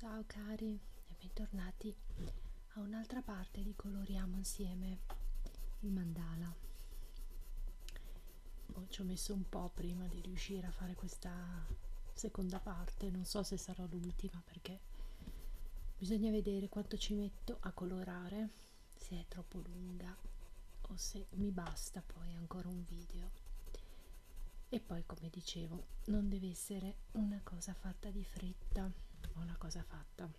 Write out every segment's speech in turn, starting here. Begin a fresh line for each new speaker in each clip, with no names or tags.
Ciao cari e bentornati a un'altra parte di coloriamo insieme il mandala. Oh, ci ho messo un po' prima di riuscire a fare questa seconda parte, non so se sarà l'ultima prima perché bisogna vedere quanto ci metto a colorare se è troppo lunga o se mi basta poi ancora un video e poi come dicevo non deve essere una cosa fatta di fretta o una cosa fatta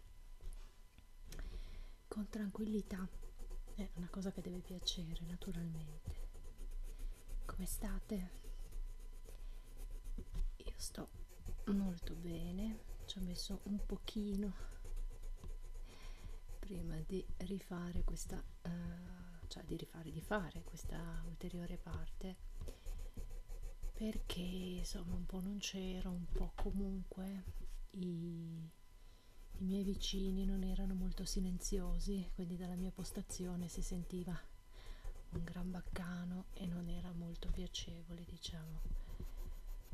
con tranquillità è una cosa che deve piacere naturalmente come state io sto molto bene ci ho messo un pochino prima di rifare questa uh, cioè di rifare di fare questa ulteriore parte perché insomma un po' non c'era un po' comunque i, i miei vicini non erano molto silenziosi quindi dalla mia postazione si sentiva un gran baccano e non era molto piacevole diciamo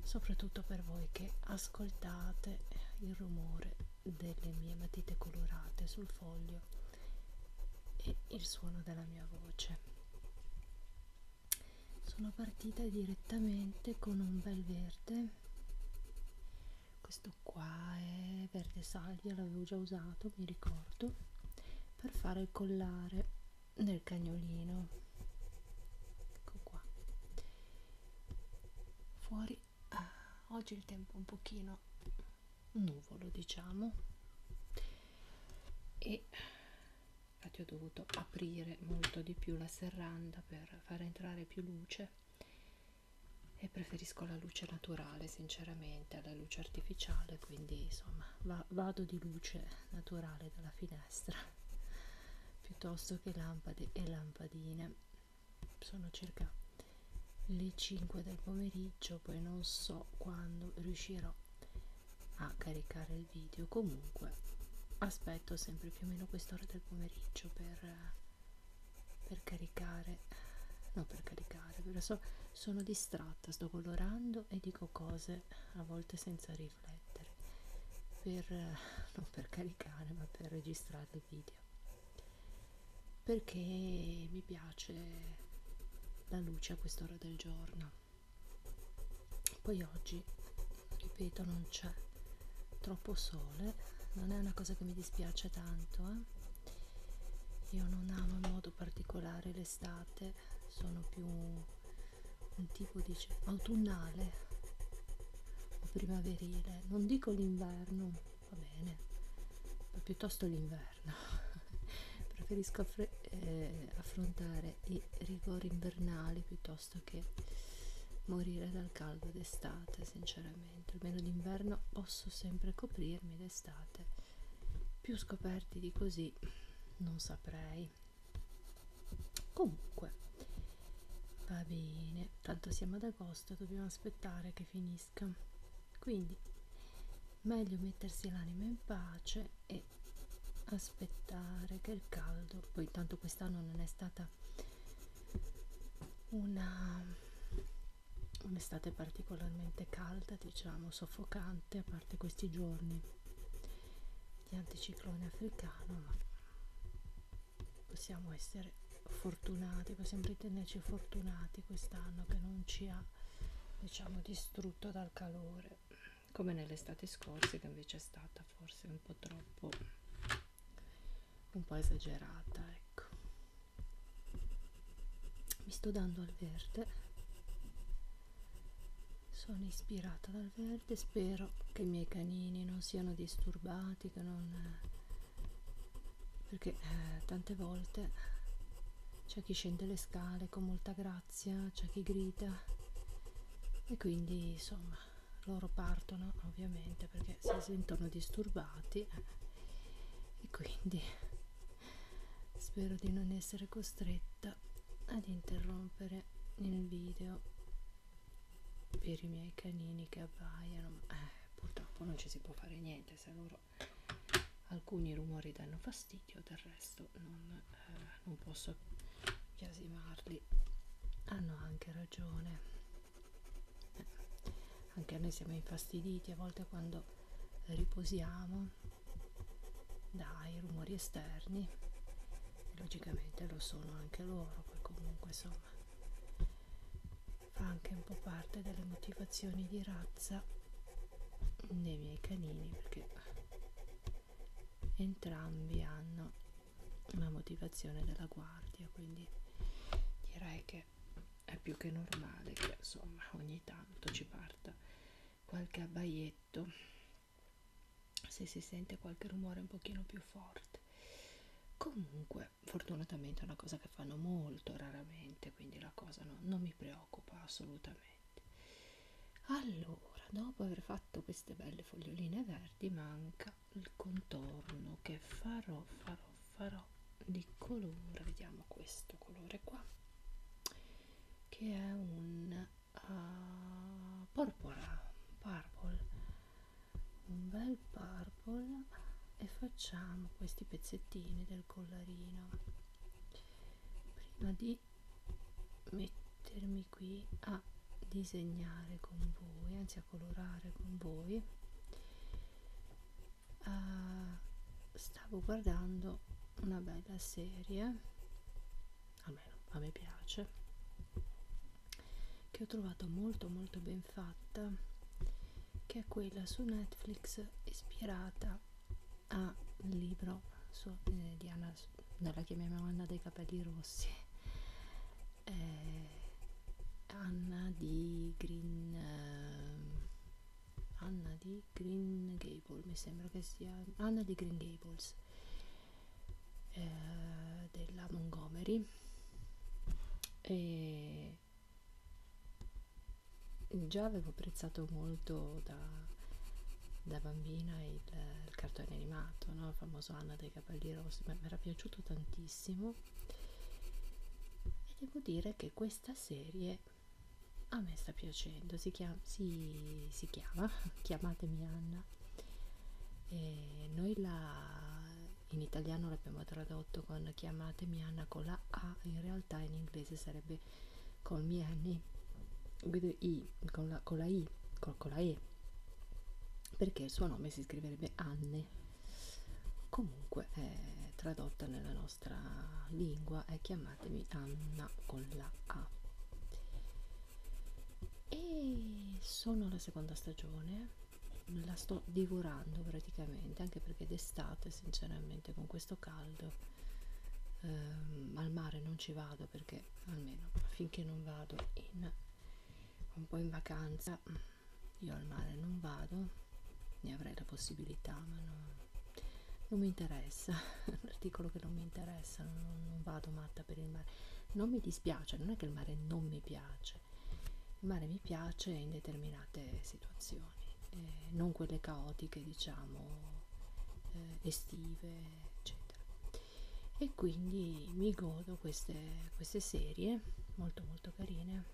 soprattutto per voi che ascoltate il rumore delle mie matite colorate sul foglio e il suono della mia voce sono partita direttamente con un bel verde questo qua è verde salvia l'avevo già usato mi ricordo per fare il collare nel cagnolino ecco qua fuori ah, oggi il tempo un pochino nuvolo diciamo e infatti ho dovuto aprire molto di più la serranda per far entrare più luce e preferisco la luce naturale sinceramente alla luce artificiale quindi insomma va, vado di luce naturale dalla finestra piuttosto che lampade e lampadine sono circa le 5 del pomeriggio poi non so quando riuscirò a caricare il video comunque aspetto sempre più o meno quest'ora del pomeriggio per, per caricare no per caricare però so, sono distratta sto colorando e dico cose volte a volte senza riflettere per eh, non per caricare ma per registrare il video perché mi piace la luce a quest'ora del giorno poi oggi ripeto non c'è troppo sole non è una cosa che mi dispiace tanto eh? io non amo in modo particolare l'estate sono più un tipo di autunnale o primaverile non dico l'inverno va bene ma piuttosto l'inverno preferisco affre eh, affrontare i rigori invernali piuttosto che morire dal caldo d'estate sinceramente almeno d'inverno posso sempre coprirmi d'estate più scoperti di così non saprei comunque va bene tanto siamo ad agosto dobbiamo aspettare che finisca quindi meglio mettersi l'anima in pace e aspettare che il caldo poi tanto quest'anno non è stata una un'estate particolarmente calda diciamo soffocante a parte questi giorni di anticiclone africano ma possiamo essere fortunati possiamo ritenerci fortunati quest'anno che non ci ha diciamo distrutto dal calore come nell'estate scorsa che invece è stata forse un po' troppo un po' esagerata ecco mi sto dando al verde sono ispirata dal verde spero che i miei canini non siano disturbati che non perché eh, tante volte c'è chi scende le scale con molta grazia c'è chi grida e quindi insomma loro partono ovviamente perché si sentono disturbati eh, e quindi spero di non essere costretta volta ad interrompere il video per i miei canini che abbaiano eh, purtroppo non ci si può fare niente se loro alcuni rumori danno fastidio del resto non, eh, non posso chiasimarli hanno anche ragione eh, anche noi siamo infastiditi a volte quando riposiamo dai rumori esterni e logicamente lo sono anche loro poi comunque insomma fa anche un po' parte delle motivazioni di razza dei miei canini perché entrambi hanno una motivazione della guardia quindi direi che è più che normale che insomma ogni tanto ci parta qualche abbaietto se si sente qualche rumore un pochino più forte comunque fortunatamente è una cosa che fanno molto raramente quindi la cosa no, non mi preoccupa assolutamente allora dopo aver fatto queste belle foglioline verdi manca il contorno che farò farò farò di colore vediamo questo colore qua che è un uh, porpora purple un bel purple e facciamo questi pezzettini del collarino prima di mettermi qui a disegnare con voi anzi a colorare con voi uh, stavo guardando una bella serie almeno a me piace che ho trovato molto molto ben fatta che è quella su Netflix ispirata al libro su eh, Diana non la chiamiamo Anna dei capelli rossi eh, Anna di Green eh, Anna di Green Gable mi sembra che sia Anna di Green Gables eh, della Montgomery e già avevo apprezzato molto da, da bambina il, il cartone animato, no? il famoso Anna dei capelli rossi, mi era piaciuto tantissimo e devo dire che questa serie a me sta piacendo facendo si chiama, si, si chiama chiamatemi Anna e noi la in italiano l'abbiamo tradotto con chiamatemi Anna con la A in realtà in inglese sarebbe call me Annie I, con, la, con la I con, con la E perché il suo nome si scriverebbe Anne comunque è tradotta nella nostra lingua è chiamatemi Anna con la A e sono alla seconda stagione la sto divorando praticamente anche perché d'estate sinceramente con questo caldo ehm, al mare non ci vado perché almeno finché non vado in un po' in vacanza io al mare non vado ne avrei la possibilità ma no, non mi interessa interessa l'articolo che non mi interessa non, non vado matta per il mare non mi dispiace non è che il mare non mi piace il mare mi piace in determinate situazioni eh, non quelle caotiche diciamo eh, estive eccetera e quindi mi godo queste, queste serie molto molto carine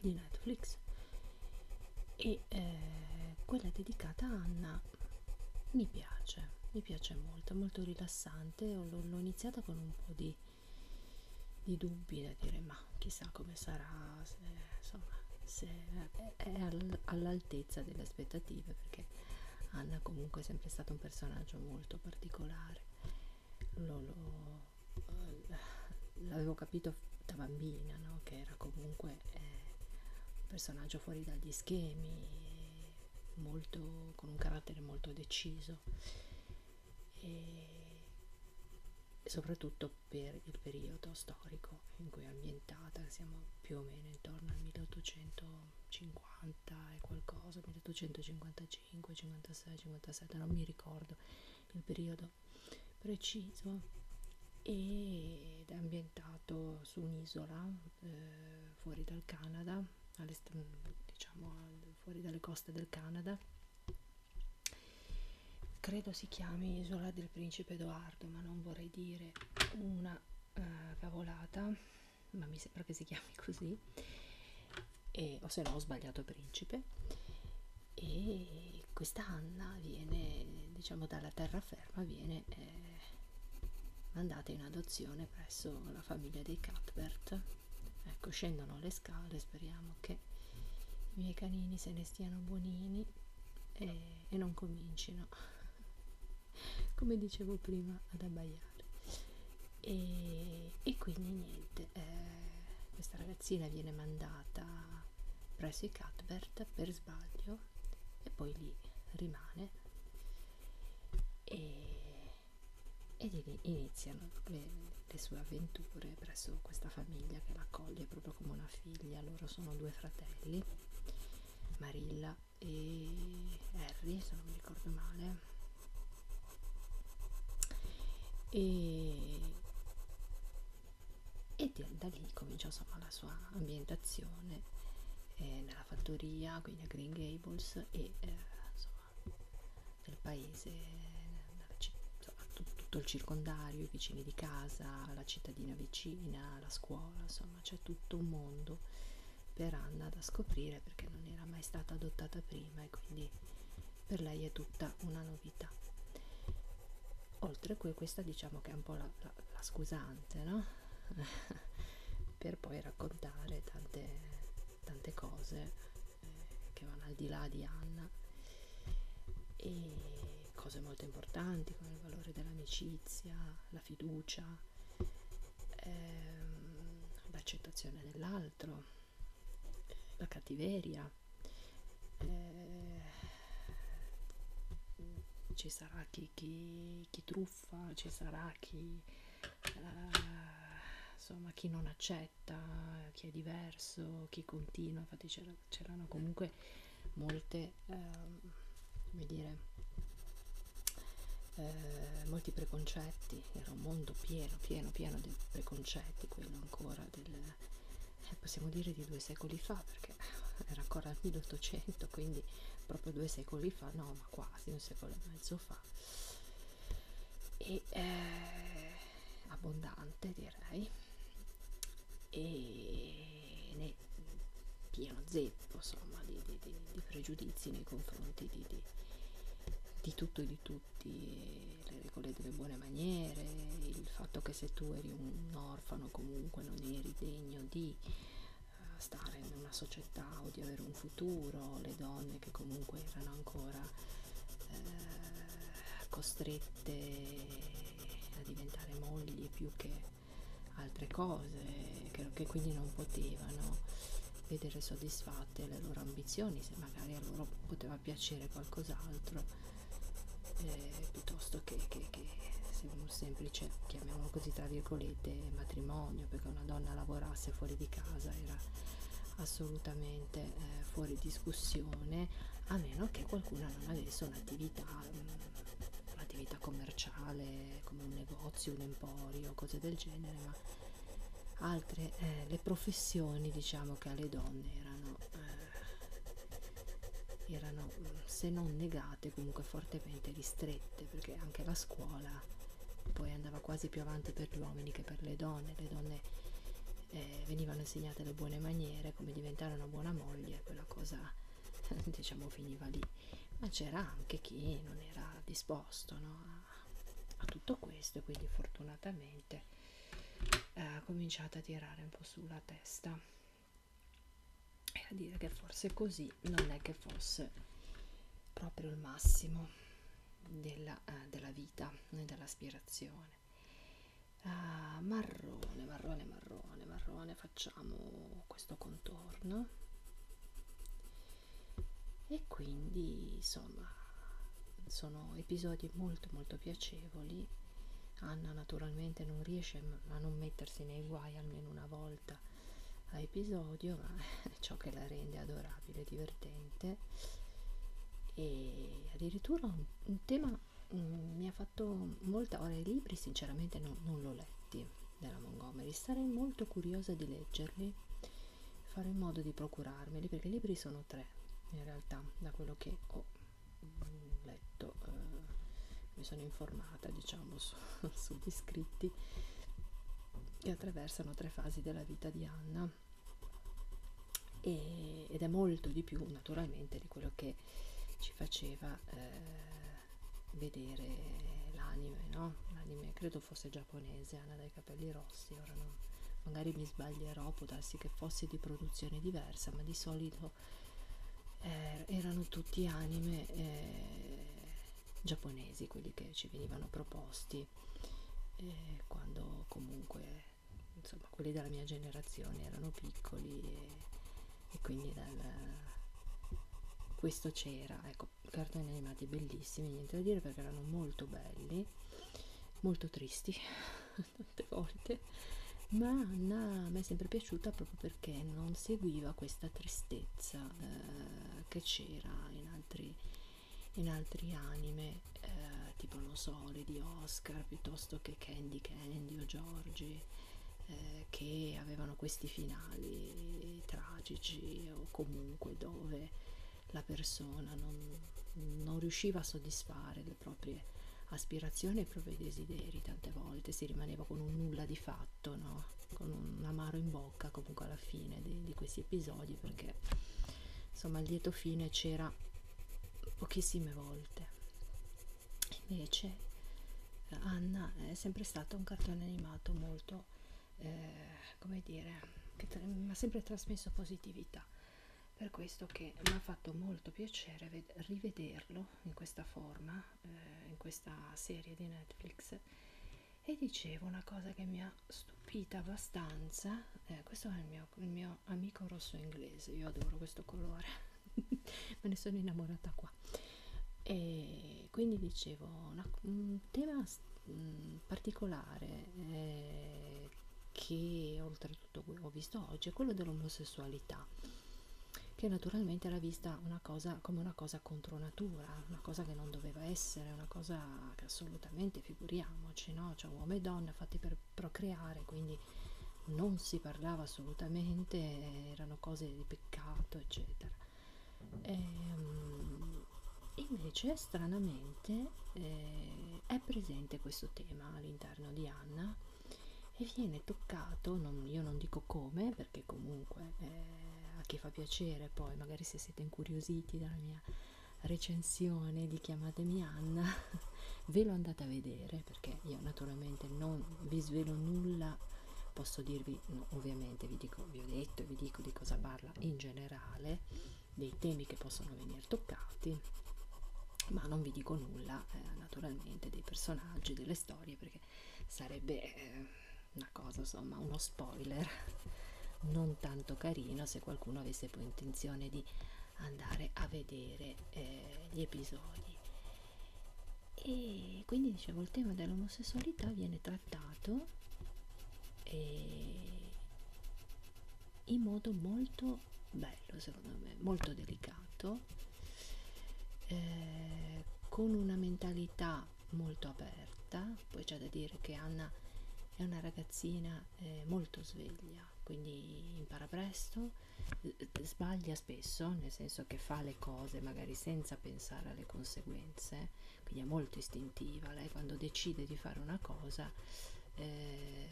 di Netflix e eh, quella dedicata a Anna ma mi piace, mi piace molto, è molto rilassante. L'ho iniziata con un po' di, di dubbi da dire ma chissà come sarà, se, insomma, se è all'altezza delle aspettative perché Anna comunque è sempre stato un personaggio molto particolare. Lo, lo, l'avevo capito da bambina no? che era comunque eh, un personaggio lascia fuori dagli schemi molto, con un carattere molto deciso e soprattutto per il periodo storico in cui è ambientata siamo più o meno intorno al 1850 e qualcosa 1855 56 57 non mi ricordo il periodo preciso ed è ambientato su un'isola eh, fuori dal Canada, mm, diciamo fuori dalle coste del Canada. Credo si chiami Isola del Principe Edoardo, ma non vorrei dire una eh, cavolata, ma mi sembra che si chiami così, e, o se no ho sbagliato principe. E questa Anna viene diciamo dalla terraferma serva viene eh, mandata in adozione presso la famiglia dei Cuthbert. Ecco, scendono le scale, speriamo che i miei canini se ne stiano buonini e, e non comincino, come dicevo prima, ad abbaiare. E, e quindi niente, eh, questa ragazzina viene mandata presso i Cuthbert per sbaglio e poi lì rimane e, e iniziano le, le sue avventure presso questa famiglia che l'accoglie proprio come una figlia. Loro sono due fratelli, Marilla e Harry, se non mi ricordo male. E, e da lì comincia insomma la sua ambientazione eh, nella fattoria, quindi a Green Gables e eh, insomma del paese, insomma, tutto il circondario, i vicini di casa, la cittadina vicina, la scuola, insomma c'è tutto un mondo per Anna da scoprire perché non era mai stata adottata prima e quindi per lei è tutta una novità oltre a cui questa diciamo che è un po' la, la, la scusante no? per poi raccontare tante, tante cose eh, che vanno al di là di Anna e cose molto importanti come il valore dell'amicizia, la fiducia, ehm, l'accettazione dell'altro, la cattiveria. Eh, ci sarà chi, chi, chi, truffa, ci sarà chi, eh, insomma, chi non accetta, chi è diverso, chi continua, infatti c'erano comunque molte, eh, come dire, eh, molti preconcetti, era un mondo pieno, pieno, pieno di preconcetti, quello ancora del, eh, possiamo dire di due secoli fa, perché perché era ancora il 1800 quindi proprio due secoli fa no ma quasi un secolo e mezzo fa e eh, abbondante direi e ne, pieno zeppo insomma di, di, di, di pregiudizi nei confronti di, di, di tutto e di tutti le regole delle buone maniere il fatto che se tu eri un orfano comunque non eri degno di stare in una società o di avere un futuro, le donne che comunque erano ancora eh, costrette a diventare mogli più che altre cose, che, che quindi non potevano vedere soddisfatte le loro ambizioni, se magari a loro poteva piacere qualcos'altro eh, piuttosto che, che che sembra un semplice, chiamiamolo così tra virgolette, matrimonio, perché una donna lavorasse fuori di casa era assolutamente eh, fuori discussione, a meno che qualcuno non avesse un'attività mm, un'attività commerciale come un negozio, un emporio, cose del genere, ma altre eh, le professioni diciamo che alle donne erano eh, erano mm, se non negate state comunque fortemente ristrette perché anche la scuola poi andava quasi più avanti per gli uomini che per le donne le donne eh, venivano insegnate le buone maniere come diventare una buona moglie quella cosa diciamo finiva lì ma c'era anche chi non era disposto no, a, a tutto questo e quindi fortunatamente eh, ha cominciato a tirare un po' sulla testa e a dire che forse così non è che fosse proprio il massimo della, eh, della vita né dell'aspirazione ah, marrone marrone marrone marrone facciamo questo contorno e quindi insomma sono episodi molto molto piacevoli Anna naturalmente non riesce a non mettersi nei guai almeno una volta a episodio, ma è ciò che la rende adorabile, divertente e addirittura un, un tema mh, mm, mi ha fatto molta ora i libri sinceramente no, non l'ho letti della Montgomery, sarei molto curiosa di leggerli, fare in modo di procurarmeli perché i libri sono tre in realtà da quello che ho mm, letto eh, mi sono informata basata diciamo su, sugli iscritti che attraversano tre fasi della vita di Anna e, ed è molto di più naturalmente di quello che ci faceva eh, vedere l'anime, no? L'anime credo fosse giapponese, Anna dai capelli rossi, ora non, magari mi sbaglierò, può darsi che fosse di produzione diversa, ma di solito eh, erano tutti anime eh, giapponesi quelli che ci venivano proposti eh, quando comunque insomma quelli della mia generazione erano piccoli e, e quindi dal, questo c'era ecco cartoni animati bellissimi niente da dire perché erano molto belli molto tristi tante volte ma Anna mi è sempre piaciuta proprio perché non seguiva questa tristezza eh, che c'era in altri, in altri anime eh, tipo non so di Oscar piuttosto che Candy Candy o Giorgi eh, che avevano questi finali tragici o comunque dove la persona non, non riusciva a soddisfare le proprie aspirazioni e i propri desideri tante volte si rimaneva con un nulla di fatto no con un amaro in bocca comunque alla fine di, di questi episodi perché insomma il lieto fine c'era pochissime volte invece Anna è sempre stato un cartone animato molto eh, come dire che mi ha sempre trasmesso positività per questo che mi ha fatto molto piacere rivederlo in questa forma eh, in questa serie di Netflix e dicevo una cosa che mi ha stupita abbastanza eh, questo è il mio, il mio amico rosso inglese io adoro questo colore me ne sono innamorata qua e quindi dicevo una, un tema mh, mm, particolare eh, che oltretutto ho visto oggi è quello dell'omosessualità che naturalmente era vista una cosa come una cosa cosa contro natura, una cosa che non doveva essere, una cosa che assolutamente figuriamoci, no? Cioè uomo e donna fatti per procreare, quindi non si parlava assolutamente, erano cose di peccato, eccetera. E, ehm, invece, stranamente, eh, è presente questo tema all'interno di Anna e viene toccato, non, io non dico come, perché comunque... Eh, a chi fa piacere poi magari se siete incuriositi dalla mia recensione di chiamatemi Anna ve lo andate a vedere perché io naturalmente non vi svelo nulla posso dirvi no, ovviamente vi, dico, vi ho detto e vi dico di cosa parla in generale dei temi che possono venire toccati ma non vi dico nulla eh, naturalmente dei personaggi delle storie perché sarebbe eh, una cosa insomma uno spoiler non tanto carino se qualcuno avesse poi intenzione di andare a vedere eh, gli episodi e quindi dicevo il tema dell'omosessualità viene trattato eh, in modo molto bello secondo me molto delicato eh, con una mentalità molto aperta, poi c'è da dire che Anna è una ragazzina eh, molto sveglia, quindi impara presto, eh, sbaglia spesso, nel senso che fa le cose magari senza pensare alle conseguenze, quindi è molto istintiva, lei quando decide di fare una cosa eh,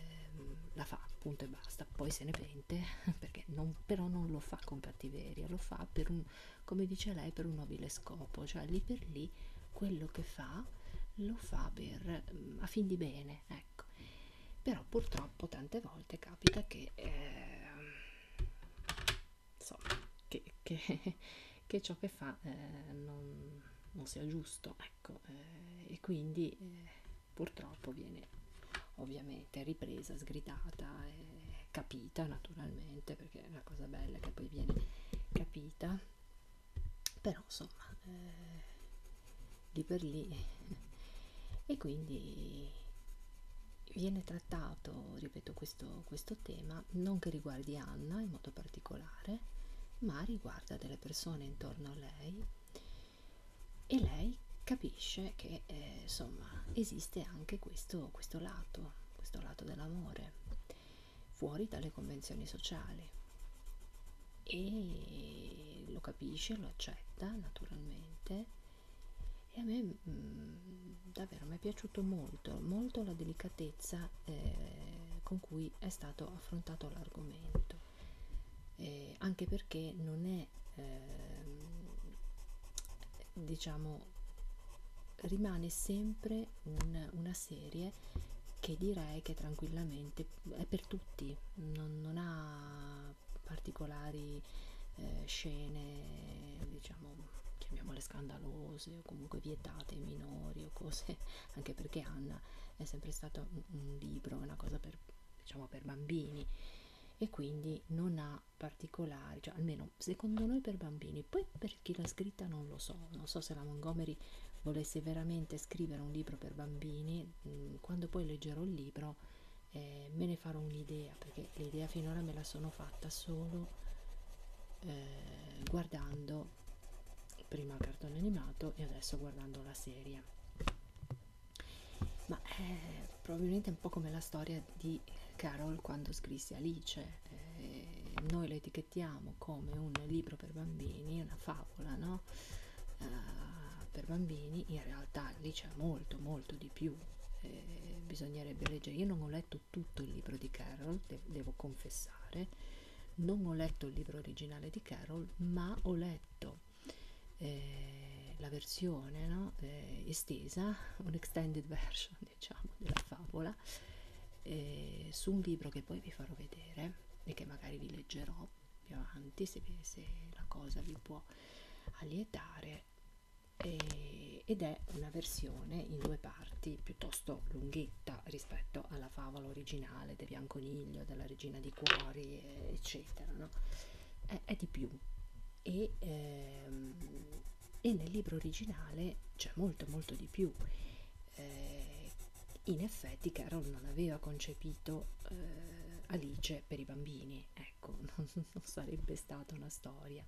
la fa, punto e basta, poi se ne pente, perché non, però non lo fa con cattiveria, lo fa per un, come dice lei per un nobile scopo cioè lì per lì quello che fa lo fa per mm, a fin di bene ecco però purtroppo tante volte capita che eh, insomma che, che, che ciò che fa eh, non, non sia giusto ecco eh, e quindi eh, purtroppo viene ovviamente ripresa sgridata e eh, capita naturalmente perché che è una cosa bella che poi viene capita però insomma eh, lì per lì e quindi viene trattato ripeto questo, questo tema non che riguardi Anna in modo particolare ma riguarda delle persone intorno a lei e lei capisce che eh, insomma esiste anche questo, questo lato questo lato dell'amore, fuori dalle convenzioni sociali e lo capisce, lo accetta naturalmente e a me mh, mm, davvero mi è piaciuto molto, molto la delicatezza eh, con cui è stato affrontato l'argomento, eh, anche perché non è eh, diciamo rimane sempre un, una serie che direi che tranquillamente è per tutti non, non ha particolari eh, scene diciamo chiamiamole scandalose o comunque vietate ai minori o cose anche perché Anna è sempre stato un, un libro una cosa per diciamo per bambini e quindi non ha particolari cioè almeno sono secondo noi per bambini poi per chi l'ha scritta non lo so non so se la Montgomery volesse veramente scrivere un libro per bambini mm, quando poi leggerò il libro eh, me ne farò un'idea perché l'idea finora me la sono fatta solo eh, guardando prima il cartone animato e adesso guardando la serie ma eh, probabilmente è un po' come la storia eh, di Carol quando scrisse Alice. Eh, noi lo etichettiamo come un libro per bambini, una favola, no? Uh, per bambini, in realtà lì c'è molto, molto di più. Eh, bisognerebbe leggere. Io non ho letto tutto il libro di Carol, de devo confessare, non ho letto il libro originale di Carol, ma ho letto eh, la versione no? eh, estesa, un extended version diciamo della favola eh, su un libro che poi vi farò vedere e che magari vi leggerò più avanti se, se la cosa vi può allietare e, ed è una versione in due parti piuttosto lunghetta rispetto alla favola originale di Bianconiglio, della regina di cuori eccetera no? è, è di più e ehm, e nel libro originale c'è molto molto di più. Eh, in effetti Carol non aveva concepito eh, Alice per i bambini, ecco, non, non sarebbe stata una storia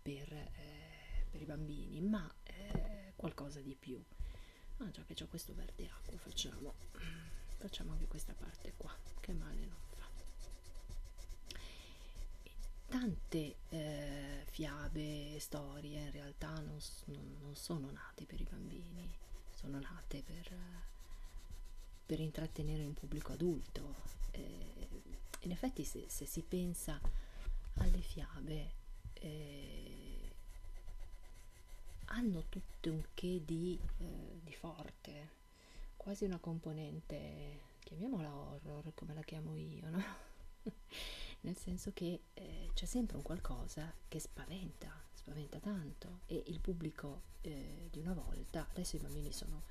per, eh, per i bambini, ma eh, qualcosa di più. Ah già che c'è questo verde acqua, facciamo, facciamo anche questa parte qua, che male non fa tante eh, fiabe, storie in realtà non, non, non sono nate per i bambini, sono nate per, per intrattenere un pubblico adulto. Eh, in effetti se, se si pensa alle fiabe eh, hanno tutte un che di, eh, di forte, quasi una componente chiamiamola horror come la chiamo io, no? nel senso che eh, c'è sempre un qualcosa che spaventa, spaventa tanto e il pubblico eh, di una volta, adesso i bambini sono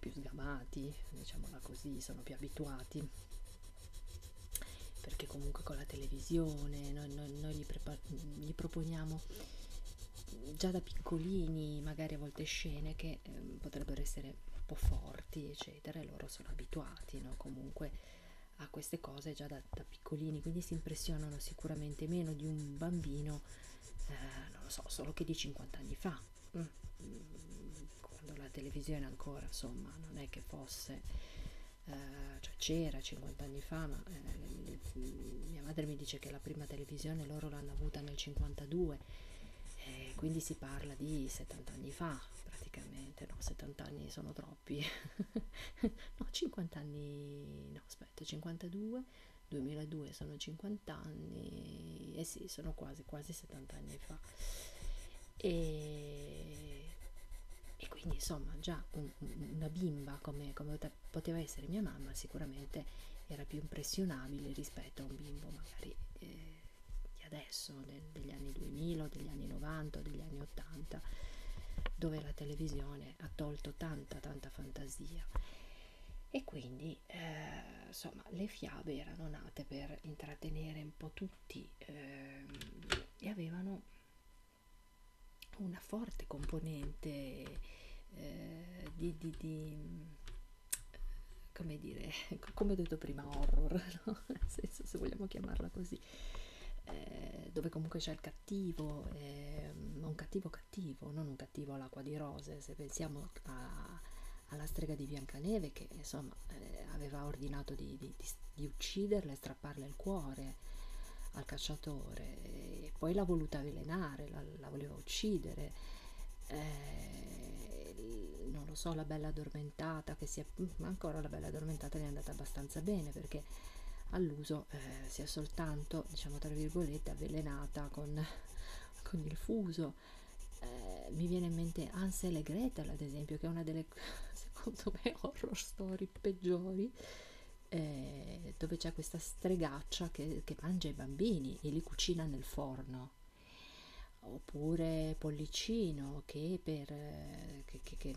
più sgamati, diciamola così, sono più abituati perché comunque con la televisione noi, noi, noi gli, gli proponiamo già da piccolini magari a volte scene che eh, potrebbero essere un po' forti eccetera e loro sono abituati no? comunque a queste cose già da, da piccolini quindi si impressionano sicuramente meno di un bambino eh, non lo so solo che di 50 anni fa mm. quando la televisione ancora insomma non è che fosse Uh, cioè c'era 50 anni fa, ma eh, mia madre mi dice che la prima televisione loro l'hanno avuta nel 52 e eh, quindi si parla di 70 anni fa praticamente, no 70 anni sono troppi, no 50 anni, no aspetta 52, 2002 sono 50 anni, e eh sì sono quasi, quasi 70 anni fa e, e quindi insomma già un, una bimba come, come poteva essere mia mamma sicuramente era più impressionabile rispetto a un bimbo magari eh, di adesso, de, degli anni 2000, degli anni 90, degli anni 80, dove la televisione ha tolto tanta, tanta fantasia. E quindi, eh, insomma, le fiabe erano nate per intrattenere un po' tutti eh, e avevano una forte componente eh, di, di, di come dire, come ho detto prima, horror, no? nel senso, se vogliamo chiamarla così, eh, dove comunque c'è il cattivo, eh, un cattivo cattivo, non un cattivo all'acqua di rose, se pensiamo a, alla strega di Biancaneve che insomma eh, aveva ordinato di, di, di, di ucciderla e strapparle il cuore al cacciatore e poi l'ha voluta avvelenare, la, la voleva uccidere eh, non lo so, la bella addormentata che si è mm, ancora la bella addormentata ne è andata abbastanza bene perché all'uso eh, si è soltanto, diciamo tra virgolette, avvelenata con, con il fuso. Eh, mi viene in mente Ansel e Gretel, ad esempio, che è una delle secondo me horror story peggiori. Eh, dove c'è questa stregaccia che, che mangia i bambini e li cucina nel forno oppure Pollicino che, per, che, che, che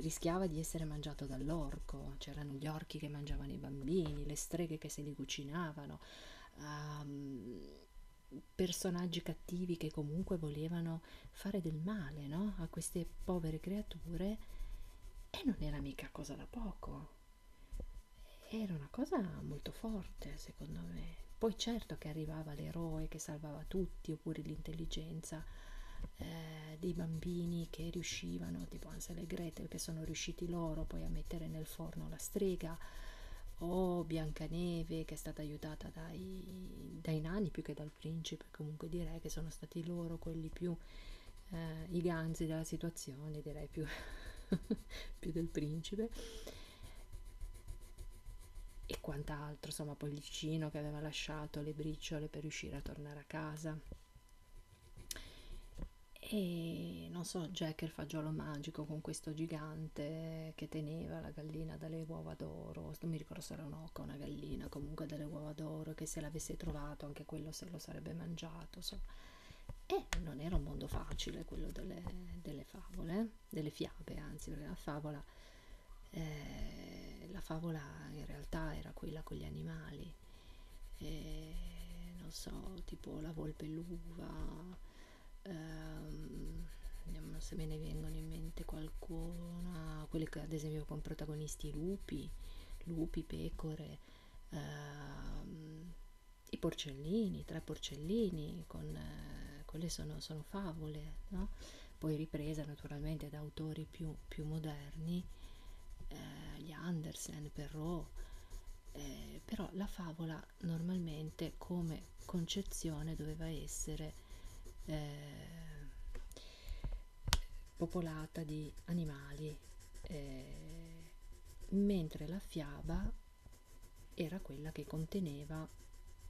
rischiava di essere mangiato dall'orco, c'erano gli orchi che mangiavano i bambini, le streghe che se li cucinavano, um, personaggi cattivi che comunque volevano fare del male no? a queste povere creature e non era mica cosa da poco. Era una cosa molto forte, secondo me. Poi certo che arrivava l'eroe che salvava tutti, oppure l'intelligenza eh, dei bambini che riuscivano, tipo Ansel e Gretel, che sono riusciti loro poi a mettere nel forno la strega, o Biancaneve che è stata aiutata dai, dai nani più che dal principe, comunque direi che sono stati loro quelli più eh, i ganzi della situazione, direi più, più del principe e quant'altro, insomma Pollicino che aveva lasciato le briciole per riuscire a tornare a casa e non so Jack il fagiolo magico con questo gigante che teneva la gallina dalle uova d'oro non mi ricordo se era un'oca o una gallina comunque dalle uova d'oro che se l'avesse trovato anche quello se lo sarebbe mangiato insomma. e non era un mondo facile quello delle, delle delle favole, delle fiabe, anzi, perché la favola, eh, la favola in realtà era quella con gli animali, eh, non so, tipo la volpe e l'uva, ehm, vediamo se me ne vengono in mente qualcuna, quelle che, ad esempio con protagonisti lupi, lupi, pecore, ehm, i porcellini, tre porcellini, con, eh, quelle sono, sono favole, no? poi riprese naturalmente da autori più, più moderni, eh, gli Andersen, Perrault, eh, però la favola normalmente come concezione doveva essere eh, popolata di animali, eh, mentre la fiaba era quella che conteneva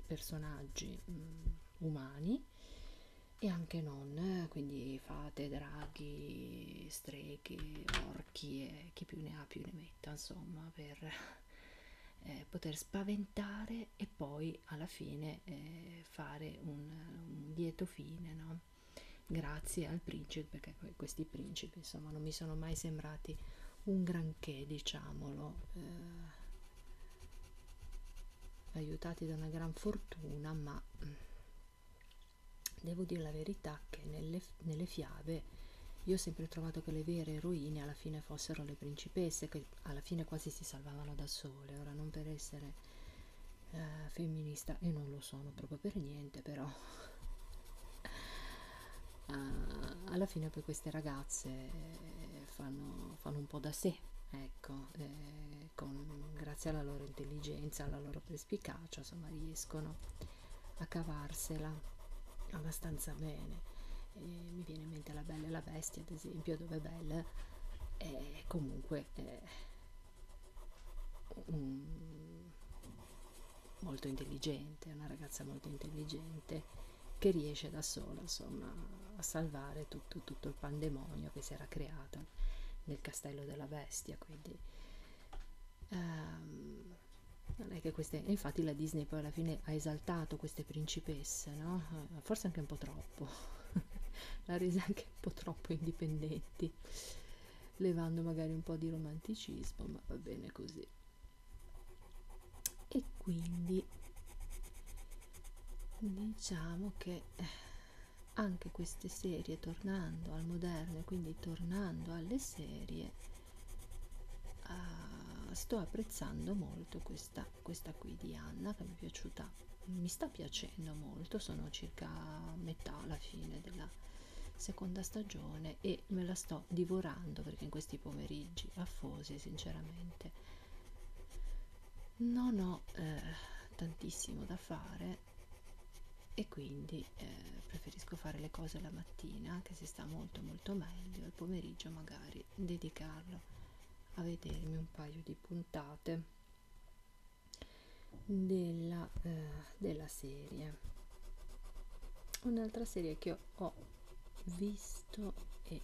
personaggi mh, mm, umani e anche non, quindi fate, draghi, streghe, orchi e chi più ne ha più ne metta, insomma, per eh, poter spaventare e poi alla fine eh, fare un, un lieto fine, no? Grazie al principe, perché questi principi principi, insomma non mi sono mai sembrati un granché, diciamolo, eh, aiutati da una gran fortuna, ma mm, devo dire la verità che nelle, nelle fiabe io ho sempre trovato che le vere eroine alla fine fossero le principesse, che alla fine quasi si salvavano da sole, ora non per essere eh, femminista e non lo sono proprio per niente, però uh, alla fine poi queste ragazze eh, fanno, fanno un po' da sé, ecco, eh, con, grazie alla loro intelligenza, alla loro perspicacia, insomma riescono a cavarsela abbastanza bene. E mi viene in mente la Bella e la Bestia, ad esempio, dove Belle è comunque... È, eh, un, molto intelligente, una ragazza molto intelligente che riesce da sola insomma a salvare tutto, tutto il pandemonio che si era creato nel castello della bestia quindi ehm, non è che queste infatti la Disney poi alla fine ha esaltato queste principesse no? Eh, forse anche un po' troppo l'ha resa anche un po' troppo indipendenti levando magari un po' di romanticismo ma va bene così e quindi diciamo che eh, anche queste serie tornando al moderno e quindi tornando alle serie uh, sto apprezzando molto questa, questa qui di Anna che mi è piaciuta mi sta piacendo molto sono circa a metà alla fine della seconda stagione bene e me la sto divorando perché in questi pomeriggi affosi sinceramente non ho eh, tantissimo da fare e quindi eh, preferisco fare le cose la mattina che si sta molto molto meglio al pomeriggio magari dedicarlo a vedermi un paio di puntate della, eh, della serie un'altra serie che ho visto e eh,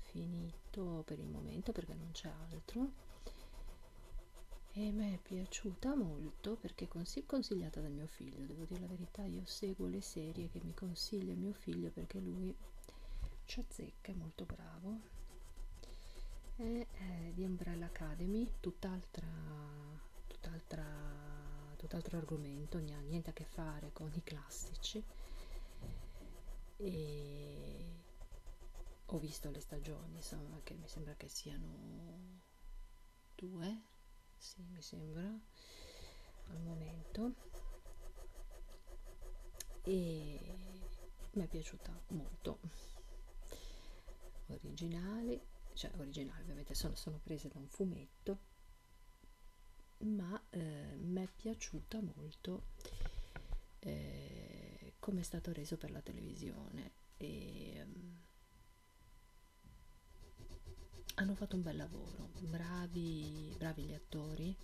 finito per il momento perché non c'è altro e mi è piaciuta molto perché consig consigliata da mio figlio devo dire la verità io seguo le serie che mi consiglia mio figlio perché lui ci azzecca è molto bravo è, è eh, di Umbrella Academy tutt'altra tutt tutt'altro tutt argomento, niente a che fare con i classici. E ho visto le stagioni, insomma, che mi sembra che siano due, sì, mi sembra al momento. E mi è piaciuta molto. Originali, cioè originali ovviamente sono, sono prese da un fumetto ma eh, mi è piaciuta molto eh, come è stato reso per la televisione e um, hanno fatto un bel lavoro bravi, bravi gli attori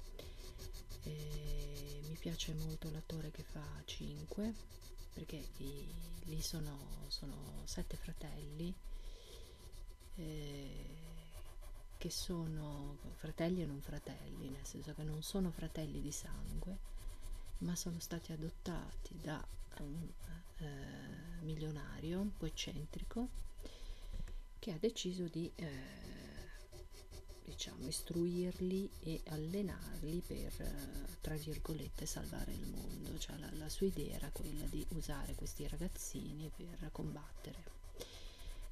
eh, mi piace molto l'attore che fa 5 perché i, lì sono, sono sette fratelli eh, che sono fratelli e non fratelli, nel senso che non sono fratelli di sangue, ma sono stati adottati da un eh, milionario un po' eccentrico che ha deciso di eh, diciamo istruirli e allenarli per eh, tra virgolette salvare il mondo cioè la, la sua idea era quella di usare questi ragazzini armi per combattere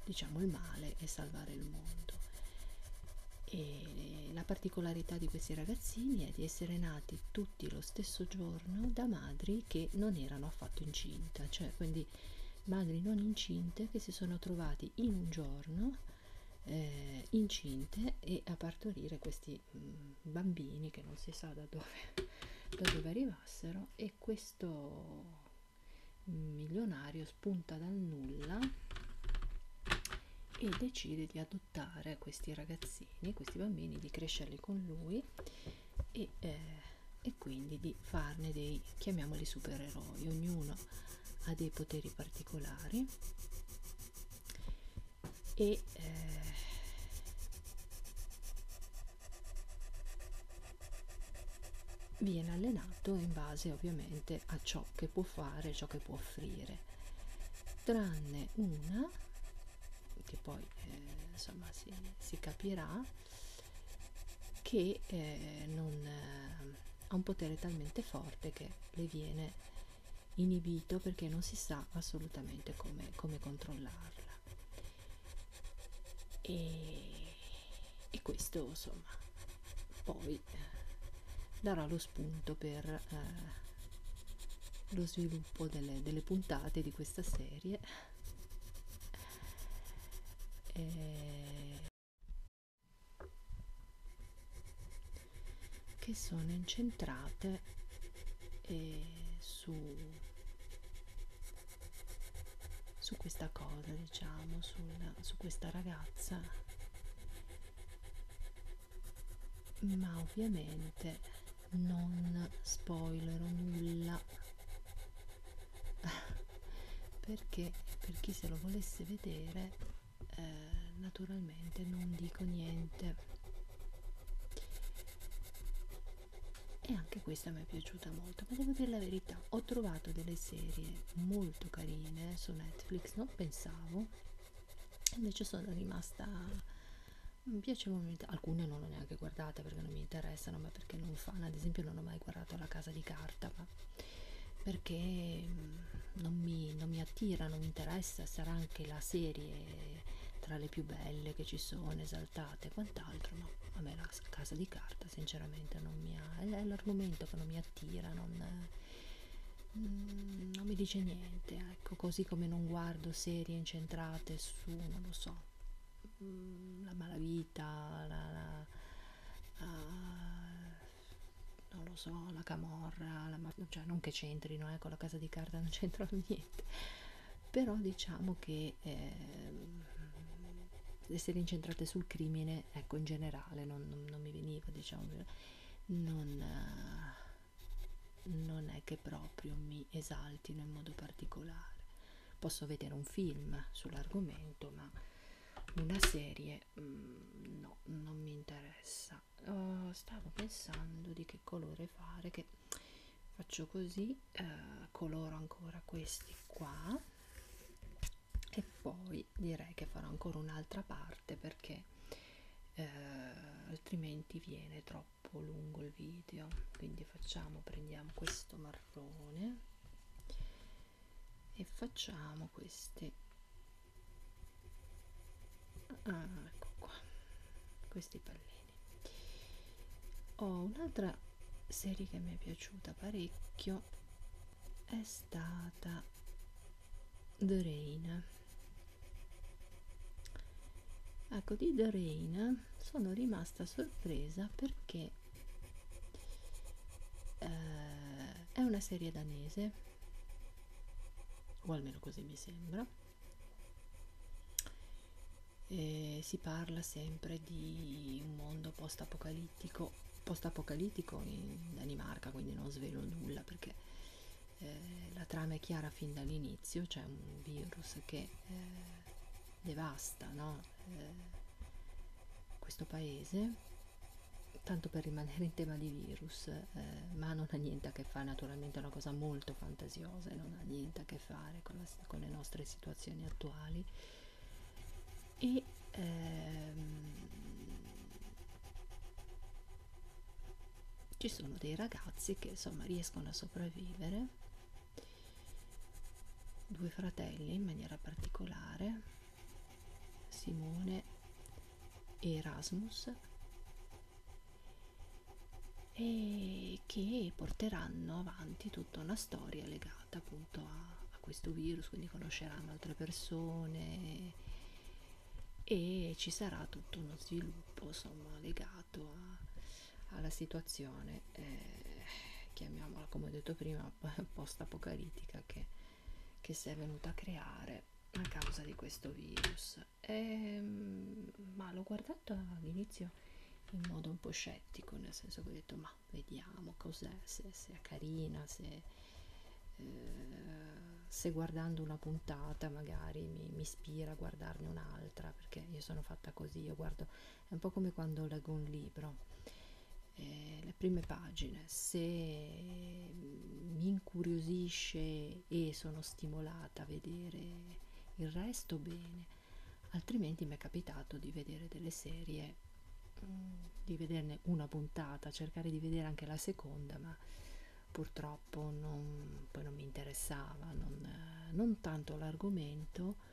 diciamo il male e salvare il mondo e la particolarità di questi ragazzini è di essere nati tutti lo stesso giorno da madri che non erano affatto incinta cioè quindi madri non incinte che si sono trovati in un giorno eh, incinte e a partorire questi mh, mm, bambini che non si sa da dove, da dove arrivassero e e questo milionario spunta dal nulla e decide di adottare questi ragazzini, questi bambini, di crescerli con lui e, eh, e quindi di farne dei, chiamiamoli supereroi, ognuno ha dei poteri particolari e, eh, viene allenato in base ovviamente a ciò che può fare, ciò che può offrire, tranne una che poi eh, insomma si, si capirà che eh, non, eh, ha un potere talmente forte che le viene inibito perché non si sa assolutamente come, come controllarla e, e questo insomma poi eh, darà lo spunto per eh, lo sviluppo delle, delle puntate di questa serie eh, che sono incentrate eh, su, su questa cosa, diciamo, sul, su questa ragazza, ma ovviamente non spoilerò nulla perché per chi se lo volesse vedere eh, naturalmente non dico niente e anche questa mi è piaciuta molto ma devo dire la verità ho trovato delle serie molto carine su Netflix non pensavo invece sono rimasta piacevolmente alcune non l'ho neanche guardata perché non mi interessano ma perché non fanno ad esempio non ho mai guardato la casa di carta ma perché mm, non mi, non mi attira non mi interessa sarà anche la serie tra le più belle che ci sono ribaltate e quant'altro, ma a me la casa di carta sinceramente non mi ha, è l'argomento che non mi attira, non, mm, non mi dice niente, ecco, così come non guardo serie incentrate su, non lo so, mm, la malavita, la, la, la non lo so, la camorra, la mafia, cioè non che c'entrino, ecco, la casa di carta non c'entra niente però diciamo che eh, essere incentrate sul crimine ecco in generale non, non, non mi veniva diciamo non, non è che proprio mi esaltino in modo particolare posso vedere un film sull'argomento ma una serie mh, mm, no non mi interessa uh, stavo pensando di che colore fare che faccio così eh, coloro ancora questi qua e poi direi che farò ancora un'altra parte perché eh, altrimenti viene troppo lungo il video quindi facciamo prendiamo questo marrone e facciamo queste ah, ecco qua questi palletti bene ho oh, un'altra serie che mi è piaciuta parecchio è stata The Rain ecco di The Rain sono rimasta sorpresa perché eh, è una serie danese o almeno così mi sembra eh, si parla sempre di un mondo post-apocalittico, post-apocalittico in Danimarca, quindi non svelo nulla perché eh, la trama è chiara fin dall'inizio, c'è un virus che eh, devasta no? eh, questo paese, tanto per rimanere in tema di virus, eh, ma non ha niente a che fare naturalmente, è una cosa molto fantasiosa, non ha niente a che che fare con, la, con le nostre situazioni attuali e ehm, ci sono dei ragazzi che insomma riescono a sopravvivere due fratelli in maniera particolare Simone e Erasmus e che porteranno avanti tutta una storia legata appunto a, a questo virus, quindi conosceranno altre persone e ci sarà tutto uno sviluppo insomma legato a, alla situazione, eh, chiamiamola come ho detto prima, post apocalittica che, che si è venuta a creare a causa di questo virus. E, ehm, ma l'ho guardato fatto all'inizio in modo un po' scettico, nel senso che ho detto ma vediamo cos'è, se, se è carina, se, eh, se guardando una puntata magari mi, mi ispira a guardarne un'altra, perché io sono fatta così, io guardo, è un po' come quando leggo un libro. Eh, le prime pagine se mi incuriosisce e sono stimolata a vedere il resto bene altrimenti mi è capitato di vedere delle serie mm, di vederne una puntata cercare di vedere anche la seconda ma purtroppo non, poi non mi interessava non, non tanto l'argomento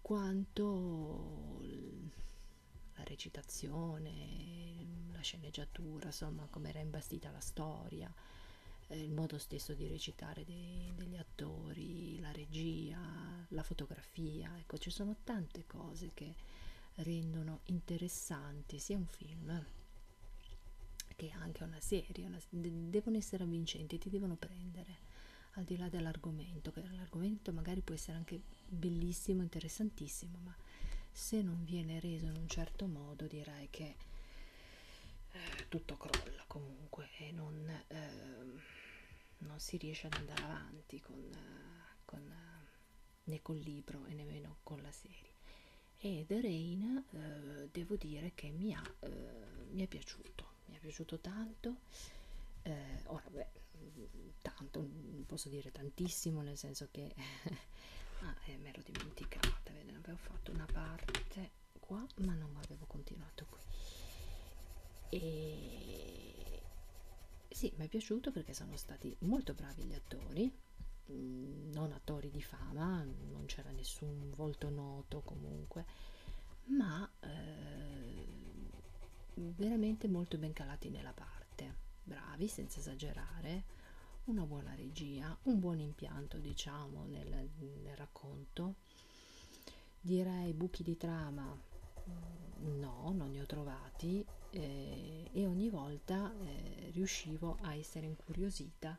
quanto la recitazione la sceneggiatura insomma come era imbastita la storia eh, il modo stesso di recitare dei, degli attori attori, la regia, la fotografia, ecco ci sono tante cose che rendono interessanti sia un film che anche una serie, una, devono essere avvincenti, ti devono prendere al di là dell'argomento, che l'argomento magari può essere anche bellissimo, interessantissimo, ma se non viene reso in un certo modo direi che eh, tutto crolla comunque e non, eh, non si riesce ad andare avanti con, con, né col libro e nemmeno con la serie e The Rain eh, devo dire che mi, ha, eh, mi è piaciuto mi è piaciuto tanto eh, ora beh tanto non posso dire tantissimo nel senso che ah, eh, me l'ho dimenticata ve ne avevo fatto una parte qua ma non avevo continuato qui e sì mi è piaciuto perché sono stati molto bravi gli attori mm, non attori di fama non c'era nessun volto noto comunque ma eh, veramente molto ben calati nella parte bravi senza esagerare una buona regia un buon impianto diciamo nel, nel racconto direi buchi di trama no non ne ho trovati eh, e ogni volta eh, riuscivo a essere incuriosita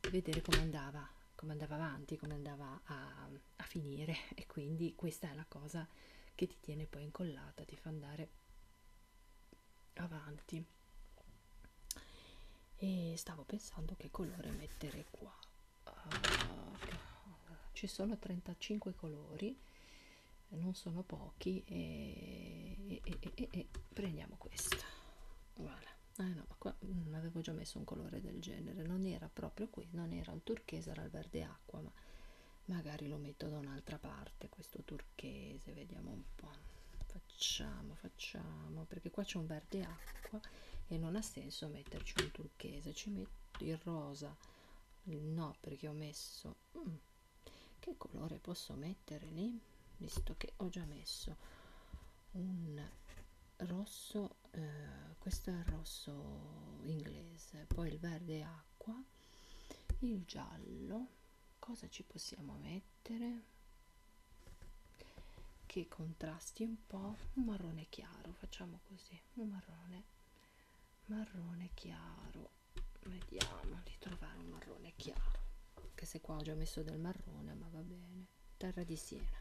di vedere come andava come andava avanti come andava a, a finire e quindi questa è la cosa che ti tiene poi incollata ti fa andare avanti e stavo pensando che colore mettere qua uh, ci sono 35 colori non sono pochi e, e, e, e prendiamo questa voilà. ah no ma qua mh, avevo già messo un colore del genere non era proprio qui non era il turchese era il verde acqua ma magari lo metto da un'altra parte questo turchese vediamo un po facciamo facciamo perché qua c'è un verde acqua e non ha senso metterci un turchese ci metto il rosa no perché ho messo mm, che colore posso mettere lì visto che ho già messo un rosso eh, questo è il rosso inglese poi il verde acqua il giallo cosa ci possiamo mettere che contrasti un po' un marrone chiaro facciamo così così un marrone marrone chiaro vediamo di trovare un marrone chiaro anche se qua ho già messo del marrone ma va bene terra di siena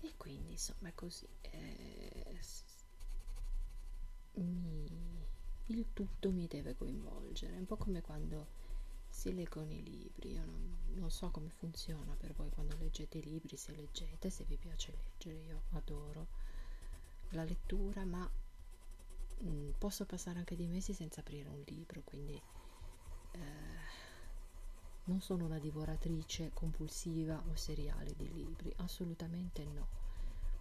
e quindi insomma è così eh, mi, il tutto mi deve coinvolgere è un po' come quando si leggono i libri io non, non so come come funziona per voi quando leggete i libri, se leggete, se vi piace leggere, io adoro la lettura, ma mh, mm, posso passare anche dei mesi senza aprire un libro, quindi eh, non sono una divoratrice compulsiva o seriale di libri, assolutamente no.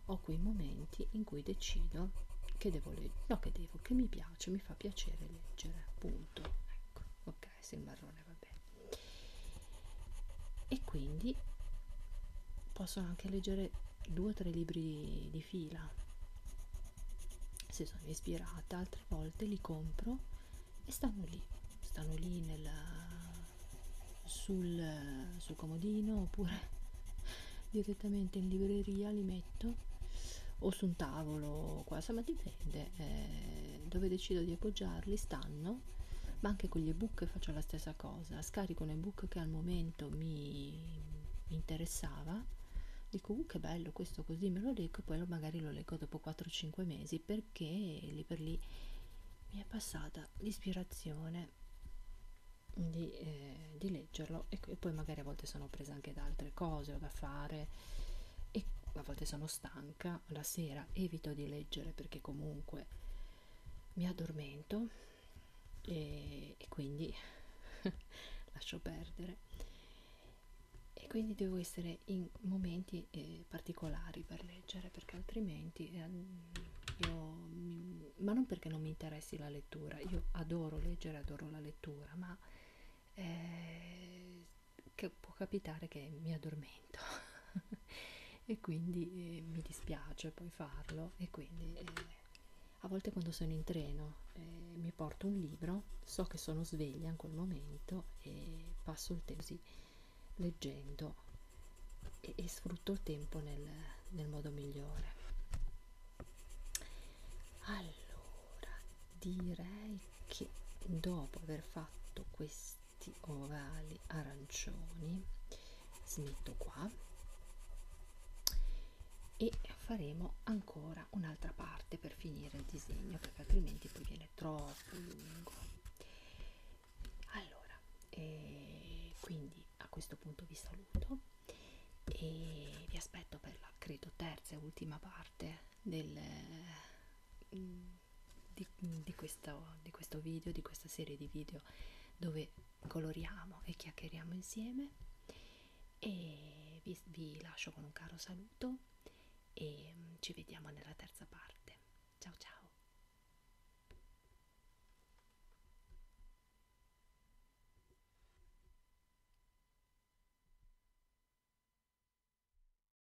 Ho quei momenti in cui decido che devo leggere, no che devo, che mi piace, mi fa piacere leggere, punto. Ecco, ok? Eh, il marrone vabbè e quindi possono anche leggere due o tre libri di, di fila se sono ispirata altre volte li compro e stanno lì stanno lì nel, sul, sul comodino oppure direttamente in libreria li metto o su un tavolo qua insomma dipende eh, eh, dove decido di appoggiarli stanno, ma anche con gli ebook faccio la stessa cosa, scarico un ebook che al momento mi interessava, dico uh, che bello questo così me lo leggo e poi magari lo leggo dopo 4-5 mesi perché lì per lì mi è passata l'ispirazione. Di, eh, di, leggerlo e, e, poi magari a volte sono presa anche da altre cose o da fare e a volte sono stanca mattina alla sera evito di leggere perché comunque mi addormento e, e quindi lascio perdere e quindi devo essere in momenti eh, particolari per leggere perché altrimenti eh, io mi, ma non perché non mi interessi la lettura io adoro leggere adoro la lettura ma eh, che può capitare che mi addormento e quindi eh, mi dispiace poi farlo e quindi eh, a volte quando sono in treno eh, mi porto un libro, so che sono sveglia in quel momento e passo il tempo così, leggendo e, e sfrutto il tempo nel, nel modo migliore. Allora direi che dopo aver fatto questo questi ovali arancioni smetto qua e faremo ancora un'altra parte per finire il disegno perché altrimenti poi viene troppo lungo allora eh, quindi a questo punto vi saluto e vi aspetto per la credo terza e ultima parte del mm, di, di, questo, di questo video, di questa serie di video dove coloriamo e chiacchieriamo insieme e vi, vi lascio con un caro saluto e mm, ci vediamo nella terza parte. Ciao ciao!